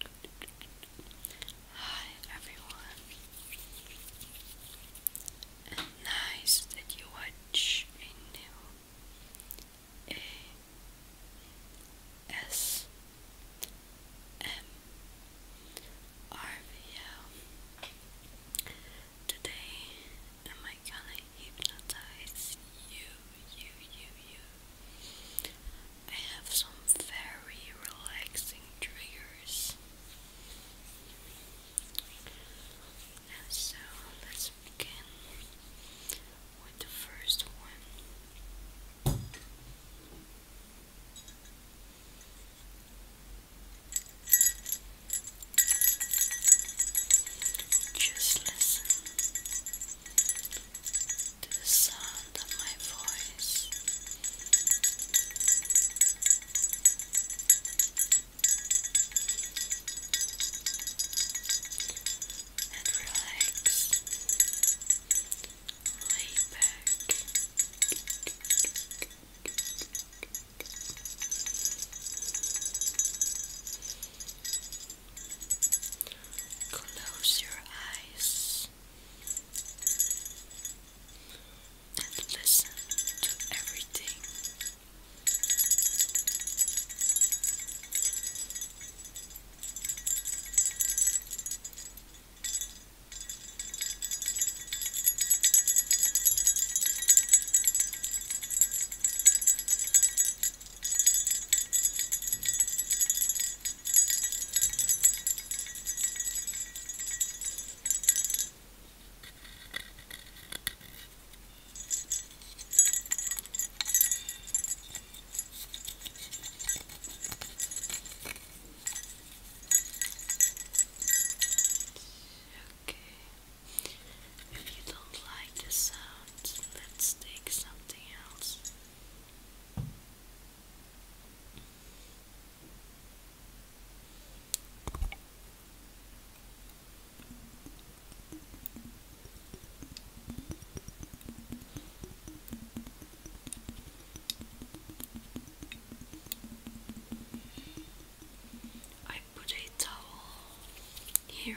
Hi everyone, nice that you watch a Today, am I gonna hypnotize you, you, you, you? I have some very relaxing triggers. so let's begin with the first one. Just listen to the sound of my voice. And relax. Lay back. Close your eyes and listen to everything. Okay. If you don't like the sound, let's take something else. I put a towel here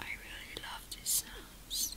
I really love these sounds.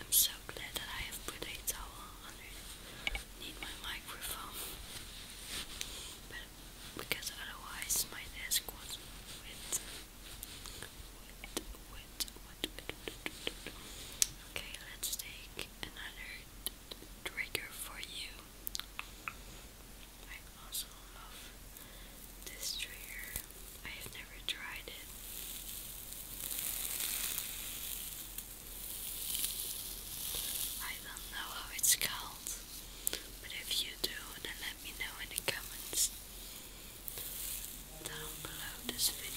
I'm so glad that I have put a towel underneath my microphone. But because otherwise my desk was wet. Wet, wet, wet, wet, wet, wet. Okay, let's take another trigger for you. I also love this trigger. I have never tried it. I don't know how it's called, but if you do, then let me know in the comments down below this video.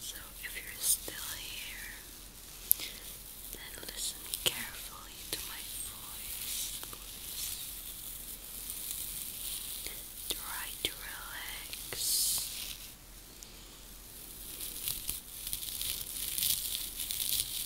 So, if you're still here, then listen carefully to my voice. Try to relax.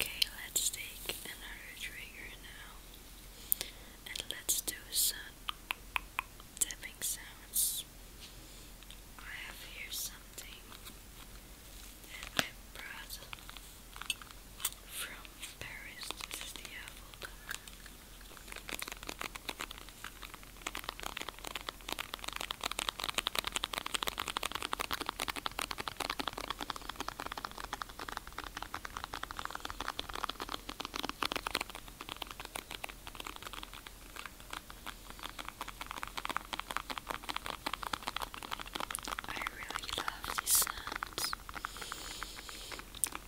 Okay, let's take another trigger now and let's do some tapping sounds. I have here something that I brought from Paris. This the Apple I really love these sounds.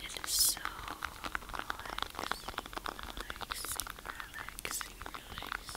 It is so relaxing, relaxing, relaxing.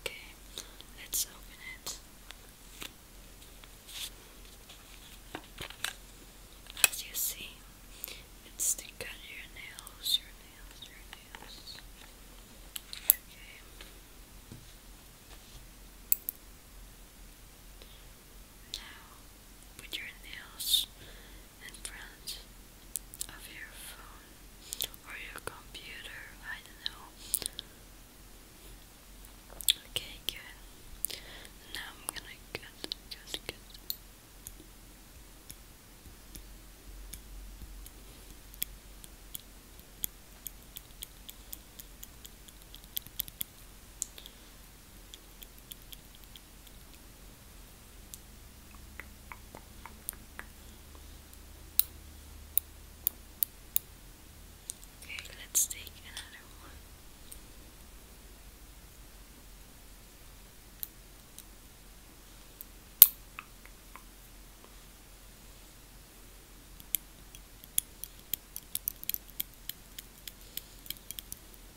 Okay, let's open it. As you see, it's the cut your nails, your nails, your nails. Okay. Now, put your nails in front of your phone or your computer, I don't know. Okay, good. Now I'm gonna get, get, get. Okay, let's take another one.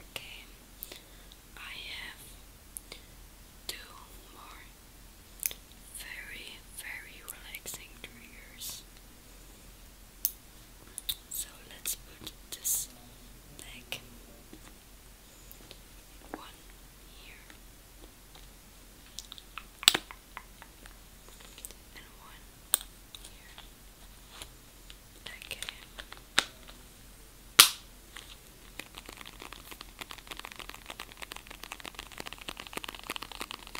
Okay, I have two more very, very relaxing triggers. So let's put this leg one here and one here. Okay.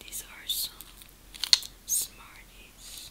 These are some Smarties.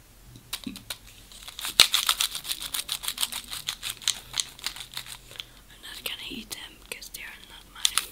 I'm not gonna eat them because they are not mine.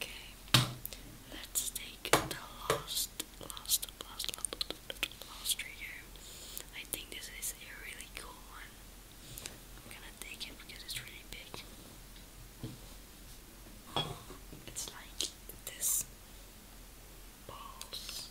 Okay, let's take the last, last, last, last trigger. I think this is a really cool one. I'm gonna take it because it's really big. It's like this balls.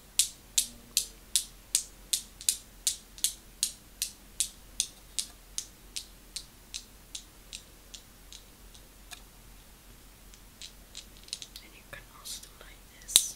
And you can also do like this.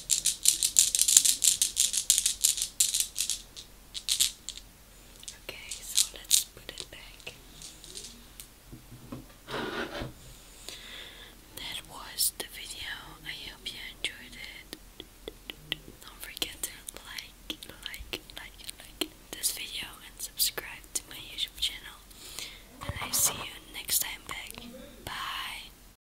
Okay, so let's put it back. That was the video. I hope you enjoyed it. Don't forget to like, like, like, like this video and subscribe to my YouTube channel. And I see you next time back. Bye.